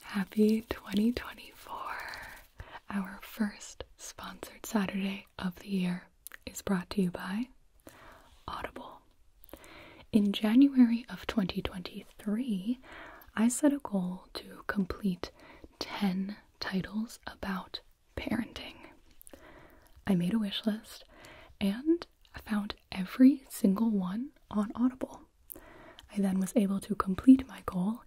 Happy 2024! Our first sponsored Saturday of the year is brought to you by Audible. In January of 2023, I set a goal to complete 10 titles about parenting. I made a wish list and I found every single one on Audible. I then was able to complete my goal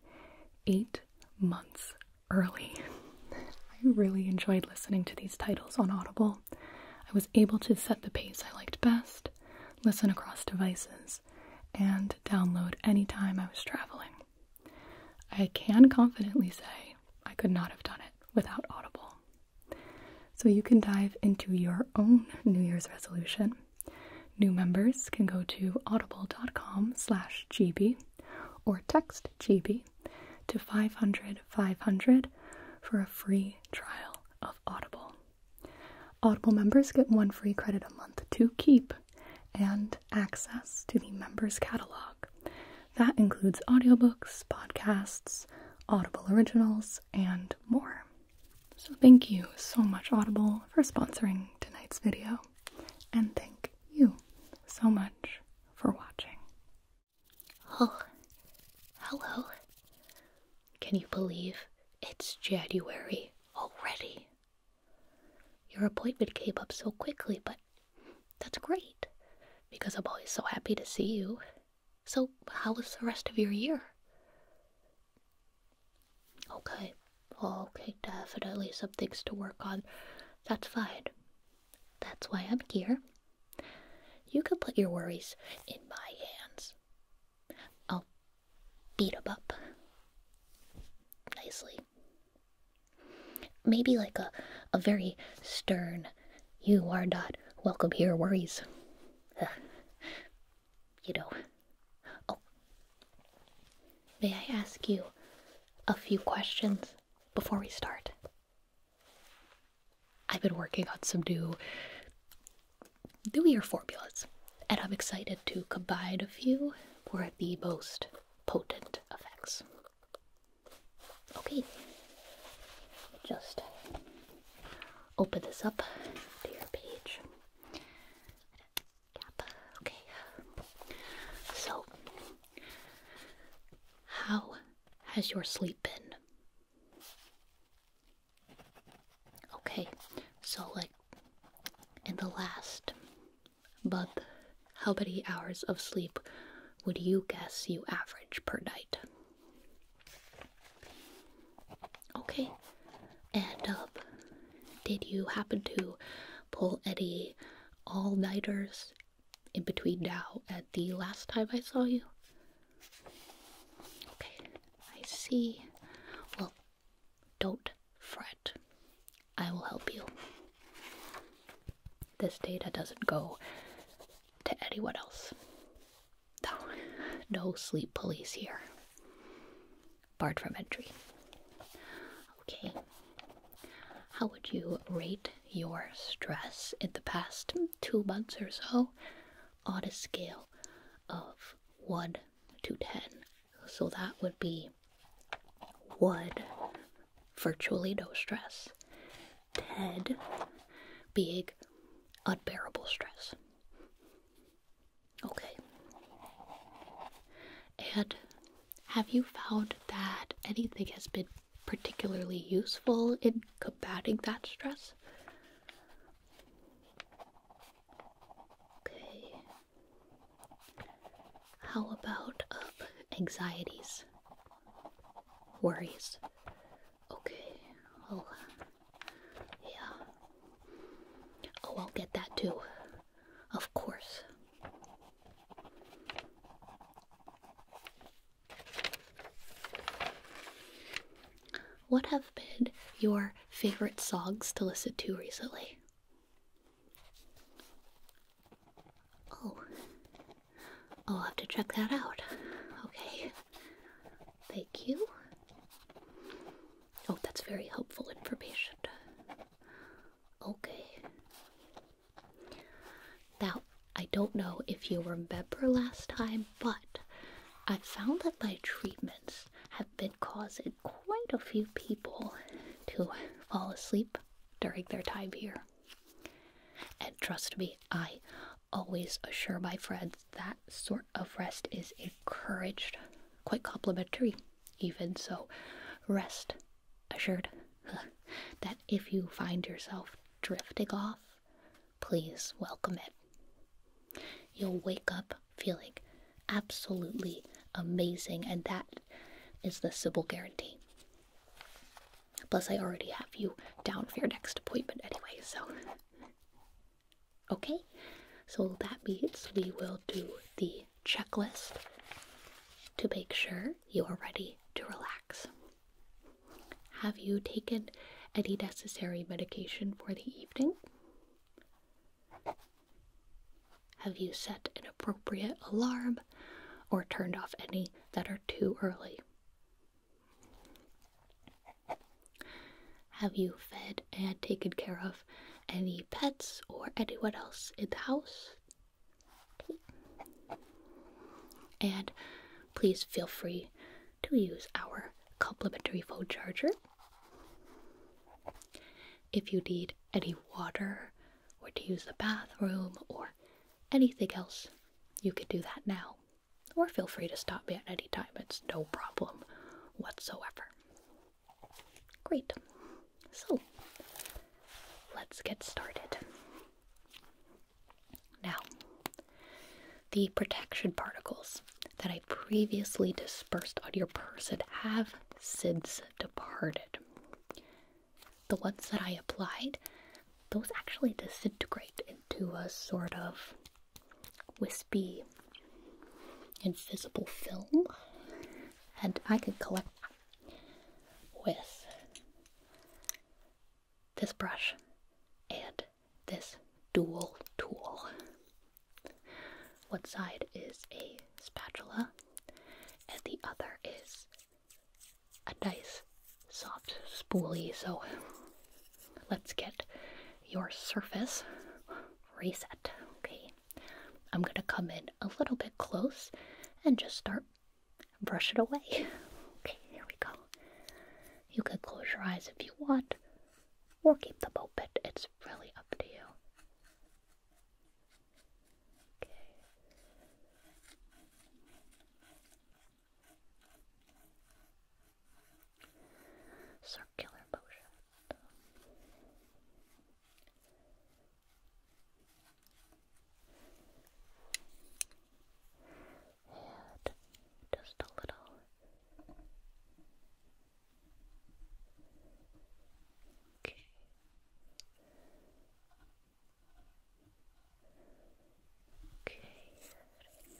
eight months early. I really enjoyed listening to these titles on Audible. I was able to set the pace I liked best, listen across devices, and download anytime I was traveling. I can confidently say I could not have done it without Audible. So you can dive into your own New Year's resolution New members can go to audible.com slash GB or text GB to 500 500 for a free trial of Audible. Audible members get one free credit a month to keep and access to the members catalog. That includes audiobooks, podcasts, Audible originals, and more. So thank you so much, Audible, for sponsoring tonight's video, and thank you so much for watching. Oh, hello. Can you believe it's January already? Your appointment came up so quickly, but that's great because I'm always so happy to see you. So, how was the rest of your year? Okay, okay, definitely some things to work on. That's fine. That's why I'm here. You could put your worries in my hands. I'll beat them up nicely. Maybe like a, a very stern, you are not welcome here worries. you know. Oh. may I ask you a few questions before we start? I've been working on some new, new year formulas, and I'm excited to combine a few for the most potent effects. Okay, just open this up to your page. Okay. So, how has your sleep been? Okay. So, like, in the last month, how many hours of sleep would you guess you average per night? Okay. And um, did you happen to pull Eddie all nighters in between now and the last time I saw you? Okay, I see. Well, don't fret. I will help you. This data doesn't go to anyone else. No, no sleep police here barred from entry. Okay. How would you rate your stress in the past two months or so on a scale of 1 to 10? So that would be 1, virtually no stress, 10 being unbearable stress. Okay. And have you found that anything has been particularly useful in combating that stress? Okay. How about um, anxieties? Worries? Okay. Well, yeah. Oh, I'll get that too. Of course. What have been your favorite songs to listen to recently? Oh, I'll have to check that out. Okay, thank you. Oh, that's very helpful information. Okay. Now, I don't know if you remember last time, but I found that my treatments have been causing quite a few people to fall asleep during their time here. And trust me, I always assure my friends that sort of rest is encouraged, quite complimentary even so, rest assured that if you find yourself drifting off, please welcome it. You'll wake up feeling absolutely amazing, and that is the Sybil guarantee. Plus, I already have you down for your next appointment anyway, so Okay, so that means we will do the checklist to make sure you are ready to relax. Have you taken any necessary medication for the evening? Have you set an appropriate alarm or turned off any that are too early? Have you fed and taken care of any pets or anyone else in the house. And please feel free to use our complimentary phone charger. If you need any water or to use the bathroom or anything else, you can do that now. Or feel free to stop me at any time, it's no problem whatsoever. Great. So, let's get started. Now, the protection particles that I previously dispersed on your person have since departed. The ones that I applied, those actually disintegrate into a sort of wispy invisible film, and I could collect with this brush and this dual tool. One side is a spatula, and the other is a nice soft spoolie. So let's get your surface reset. Okay. I'm going to come in a little bit close and just start brush it away. okay, here we go. You can close your eyes if you want or keep them open. It's really up to you. Okay. Circular motion. And just a little okay. Okay. Down, down,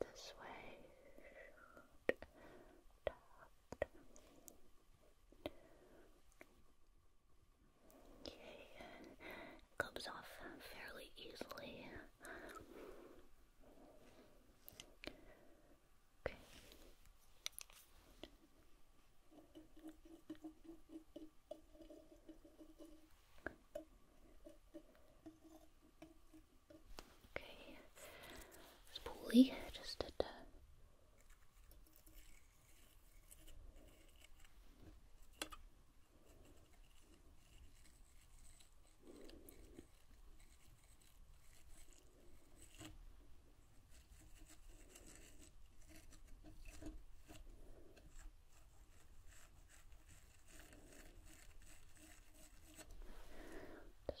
this way. Okay, comes off fairly easily. Okay, it's poorly. Just did. Uh, uh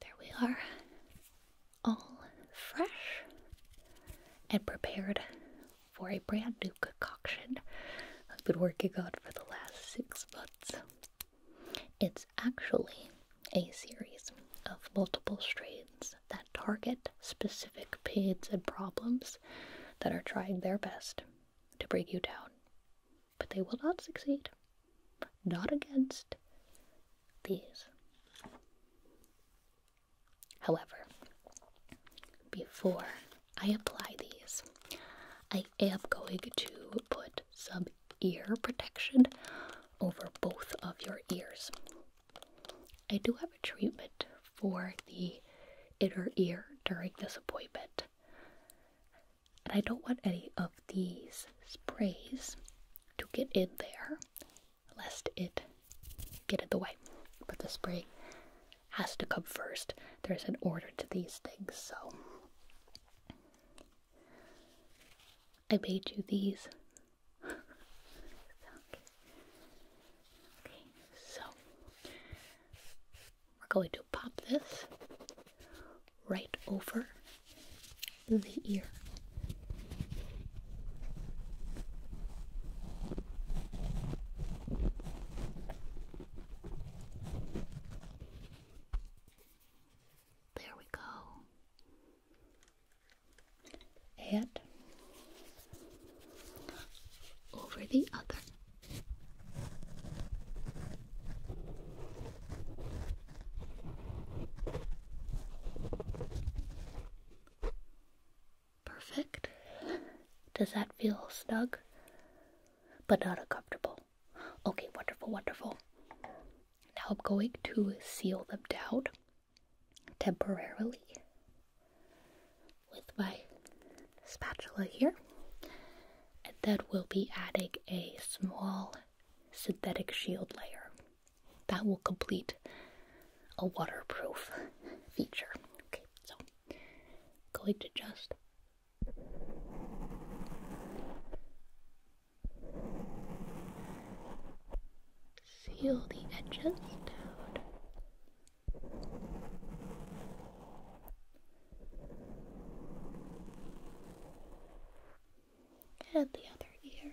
There we are, all fresh and prepared for a brand new concoction I've been working on for the last six months. It's actually a series of multiple strains that target specific pains and problems that are trying their best to break you down, but they will not succeed not against these. However, before I apply these, I am going to put some ear protection over both of your ears. I do have a treatment for the inner ear during this appointment. And I don't want any of these sprays to get in there lest it get in the way. But the spray has to come first. There's an order to these things, so I made you these. so we're going to pop this right over the ear. There we go. Head over the other. Perfect. Does that feel snug? But not uncomfortable. Okay, wonderful, wonderful. Now I'm going to seal them down temporarily with my spatula here. And then we'll be adding a small synthetic shield layer. That will complete a waterproof feature. Okay, so going to just seal the edges And the other ear.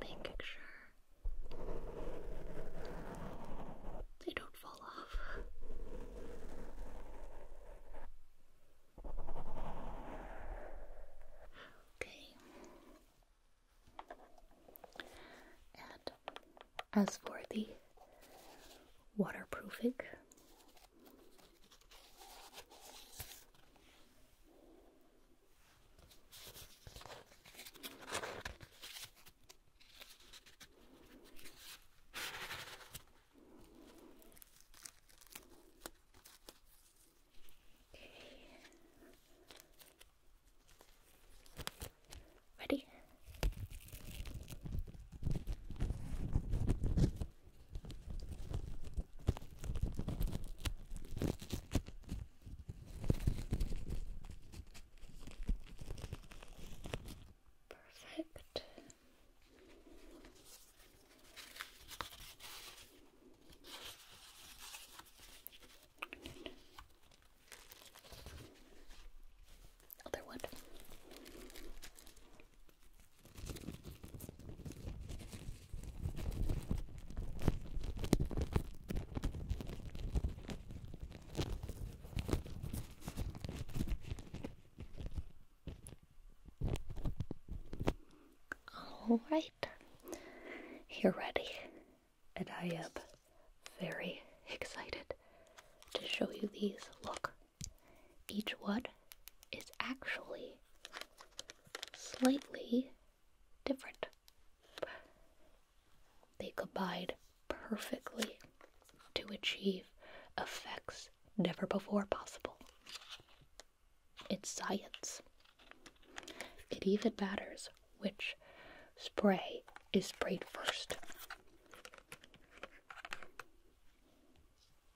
Making sure they don't fall off. Okay. And as for the waterproofing. Okay. Ready? Perfect. Other one. All right, you're ready, and I am very excited to show you these. Look, each one is actually slightly different. They combine perfectly to achieve effects never before possible. It's science. It even matters which spray is sprayed first.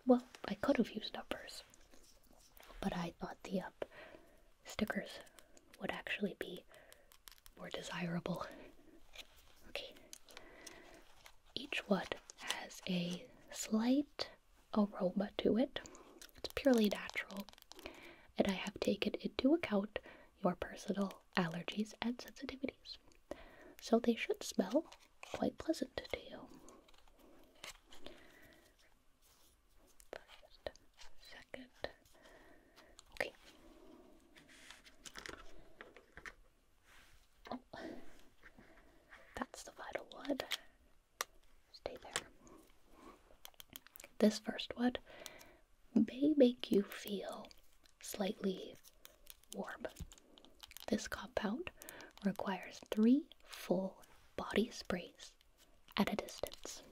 Well, I could have used numbers, but I thought the up uh, stickers would actually be more desirable. Okay. Each wood has a slight aroma to it. It's purely natural, and I have taken into account your personal allergies, and sensitivities. So they should smell quite pleasant to you. First, second. Okay. Oh, that's the vital wood. Stay there. This first wood may make you feel slightly warm. This compound requires three full body sprays at a distance.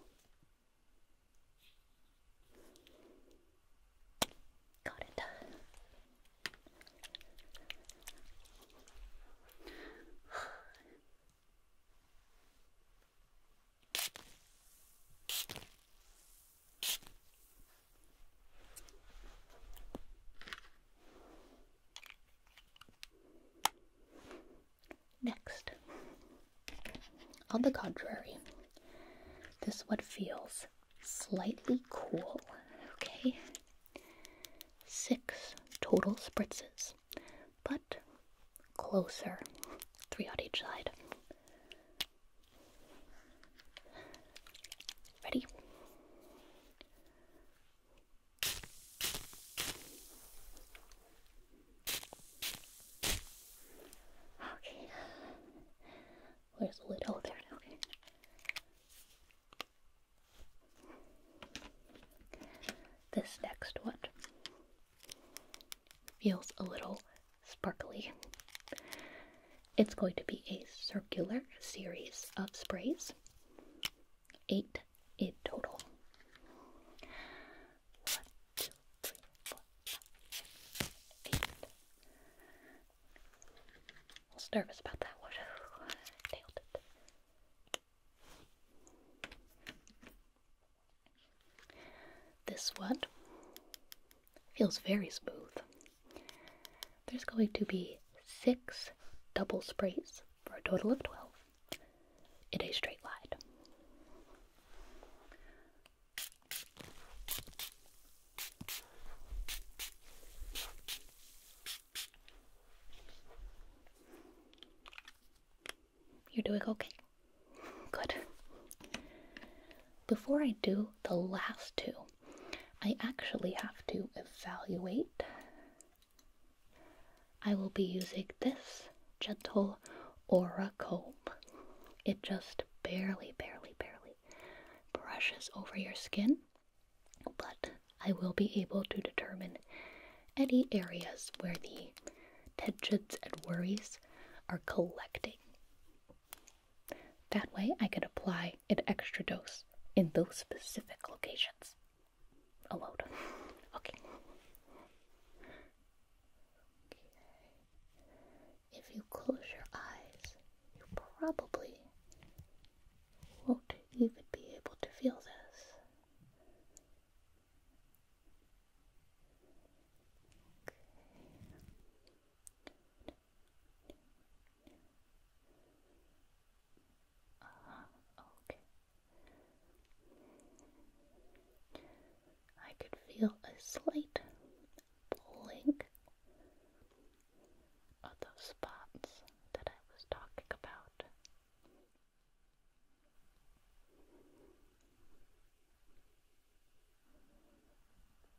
Got it. Next, on the contrary, this one feels slightly cool. Okay, six total spritzes, but closer, three on each side. Ready? Okay. Where's the little. Okay. This next one feels a little sparkly. It's going to be a circular series of sprays, eight in total. One, two, three, four, five, eight. was nervous about that one. Nailed it. This one Feels very smooth. There's going to be six double sprays for a total of 12 in a straight line. You're doing okay? Good. Before I do the last two, I actually have to evaluate. I will be using this gentle aura comb. It just barely, barely, barely brushes over your skin, but I will be able to determine any areas where the tensions and worries are collecting. That way I can apply an extra dose in those specific locations. A Okay. If you close your eyes, you probably won't even be able to feel this. Uh, okay. I could feel a slight pulling of those spots that I was talking about.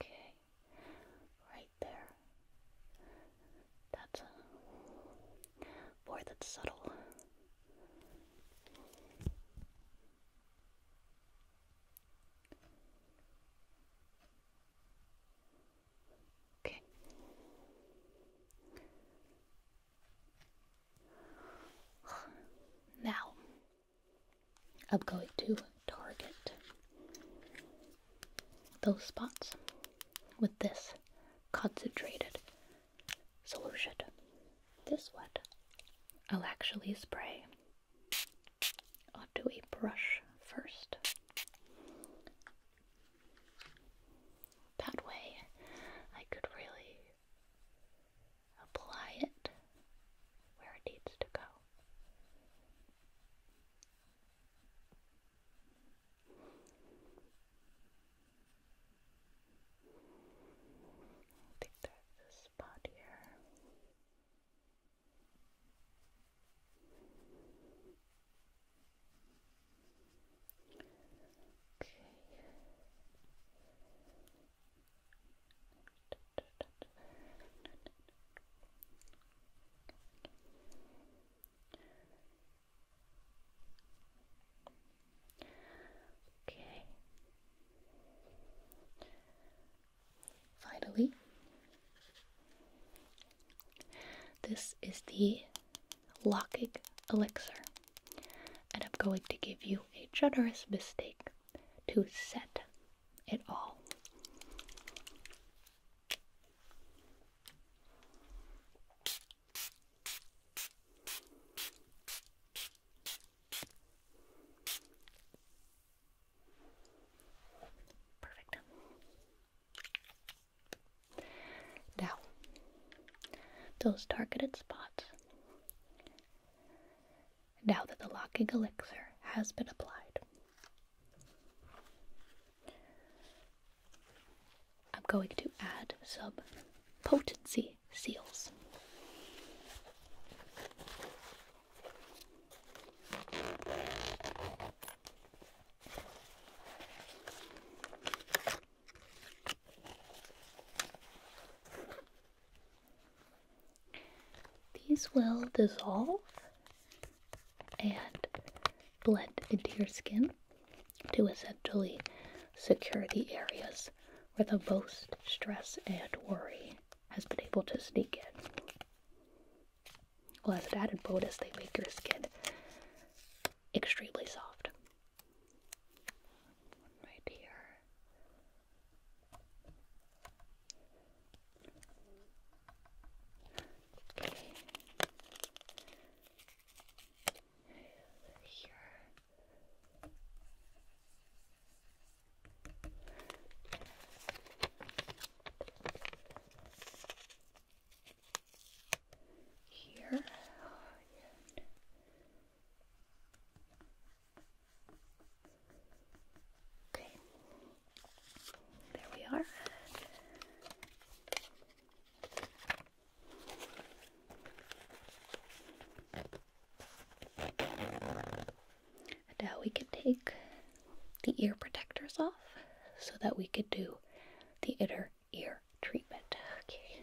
okay, right there. That's a boy subtle. Okay. Now, I'm going to target those spots with this concentrated solution. This one I'll actually spray onto a brush first. That way I could really apply it where it needs to go. I think there's this spot here. Okay. Okay. Finally, this is the locking elixir, and I'm going to give you a generous mistake to set at all. Perfect. Now, those targeted spots now that the locking elixir has been applied. I'm going to add some potency seals. These will dissolve and blend into your skin to essentially secure the areas where the most stress and worry has been able to sneak in. Well, as an added bonus, they make your skin extremely soft. right here. Okay. Here. Here. Oh, yeah. Okay, there we are. now we can take the ear protectors off so that we could do the inner ear treatment. Okay.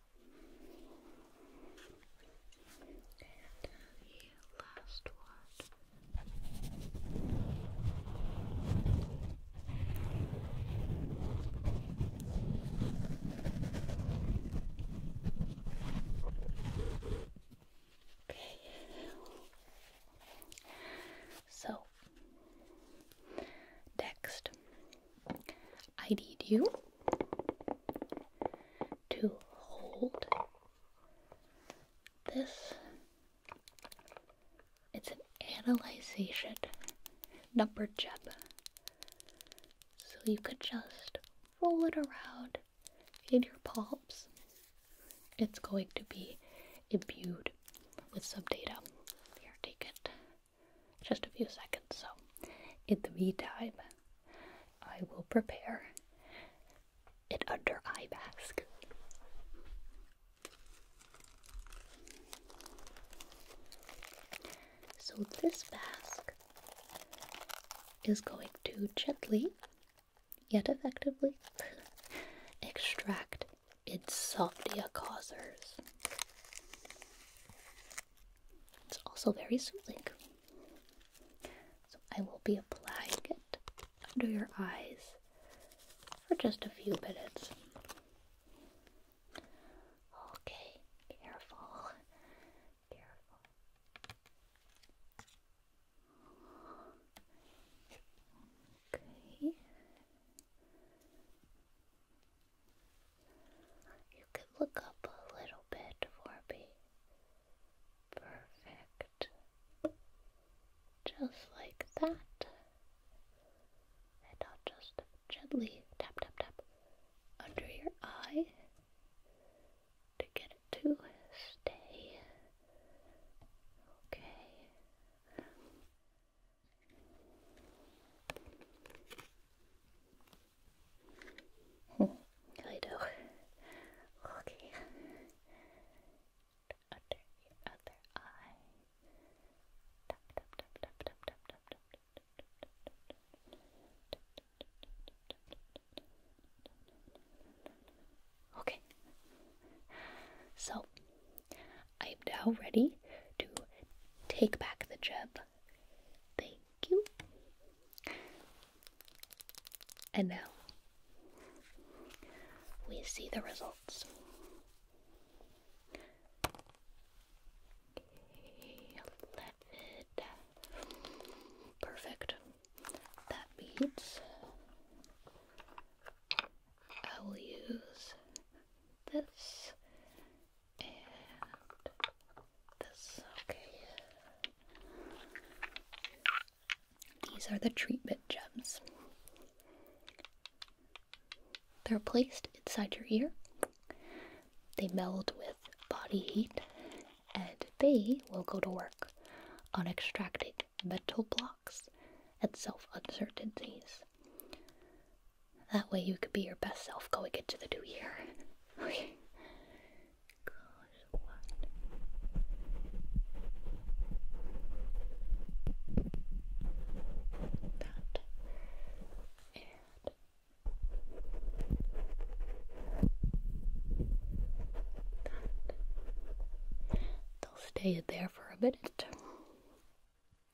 the last one. Okay. So, next, I need you to hold this. It's an analyzation number chip. So you could just roll it around in your palms. It's going to be imbued with some data. Here, take it. Just a few seconds. So, in the meantime, I will prepare it under eye mask. So, this mask is going to gently, yet effectively, extract its insomnia causers. It's also very soothing. So I will be applying it under your eyes for just a few minutes. Okay, careful. Careful. Okay. You can look up a little bit for me. Perfect. Just like that. And I'll just gently tap, tap, tap under your eye to get it to stay. Okay. Cluedo. Okay. Okay. So I am now ready to take back the gem. They and now we see the results. Perfect. That beats. I will use this and this. Okay. These are the treatment gems. They're placed inside your ear. They meld with body heat and they will go to work on extracting metal blocks and self uncertainties. That way, you could be your best self going into the new year. That and that. They'll stay there for a minute.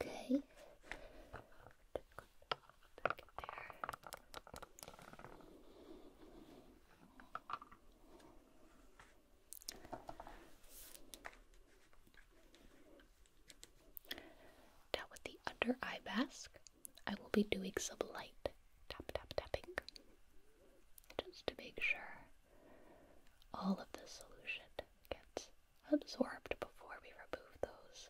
Okay. Now with the under eye mask, I will be doing some light tapping just to make sure all of the solution gets absorbed before we remove those.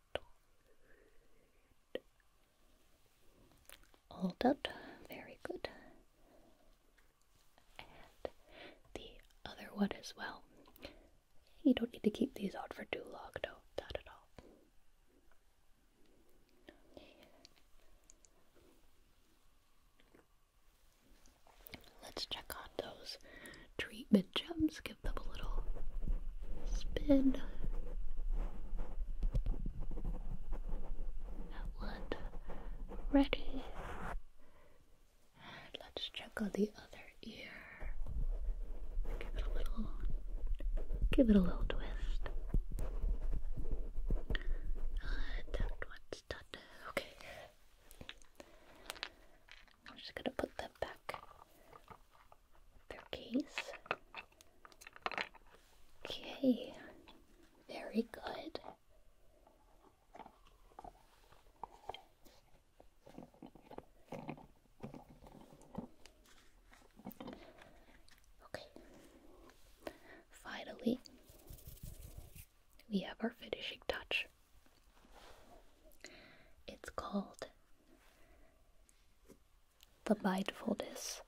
All done. Very good. And the other one as well. You don't need to keep these out for too long, no, not at all. Let's check on those treatment gems, give them a little spin. That one ready. And let's check on the other ear. Give it a little give it a little twist. Uh, okay. I'm just gonna put them back case. Okay, very good. Okay, finally, we have our finishing touch. It's called the mindfulness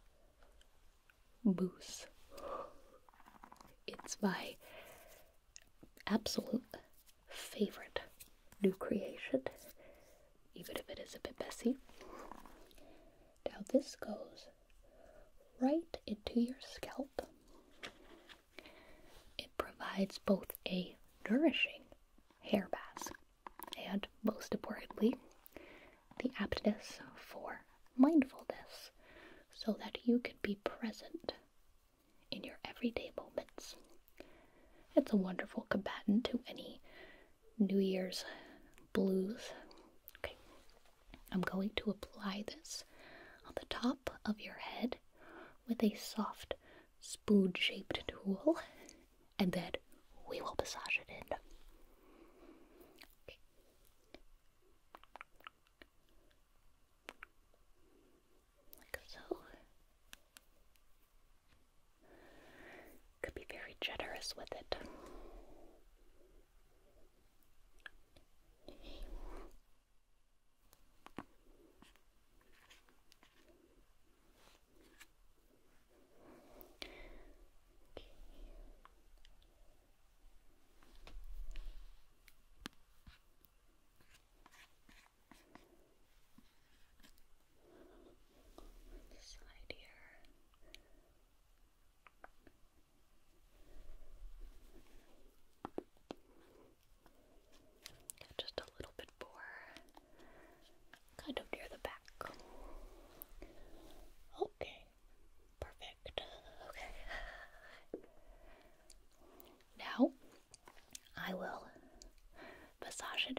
mousse. It's my absolute favorite new creation, even if it is a bit messy. Now, this goes right into your scalp. It provides both a nourishing hair mask and most importantly, the aptness for mindfulness so that you can be present in your everyday moments. It's a wonderful combatant to any New Year's blues. Okay, I'm going to apply this on the top of your head with a soft spoon shaped tool and then we will massage it in. Like so. Could be very generous with it. Okay. This here. Just a little bit more kind of near the back. Okay, perfect. Okay. Now I will massage it.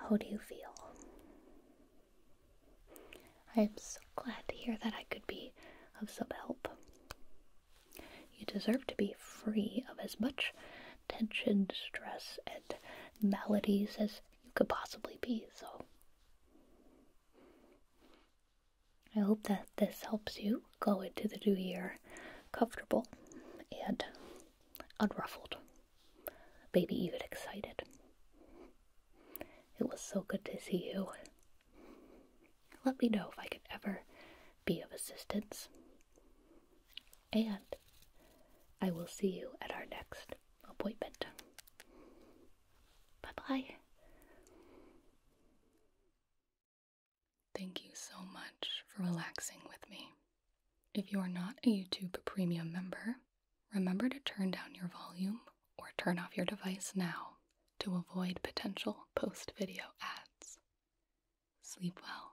How do you feel? I am so glad to hear that I could be of some help. You deserve to be free of as much tension, stress, and maladies as you could possibly be, so. I hope that this helps you go into the new year comfortable and unruffled. Baby, you get excited. It was so good to see you. Let me know if I could ever be of assistance. And I will see you at our next appointment. Bye bye. Thank you so much for relaxing with me. If you are not a YouTube Premium member, remember to turn down your volume or turn off your device now to avoid potential post video ads. Sleep well.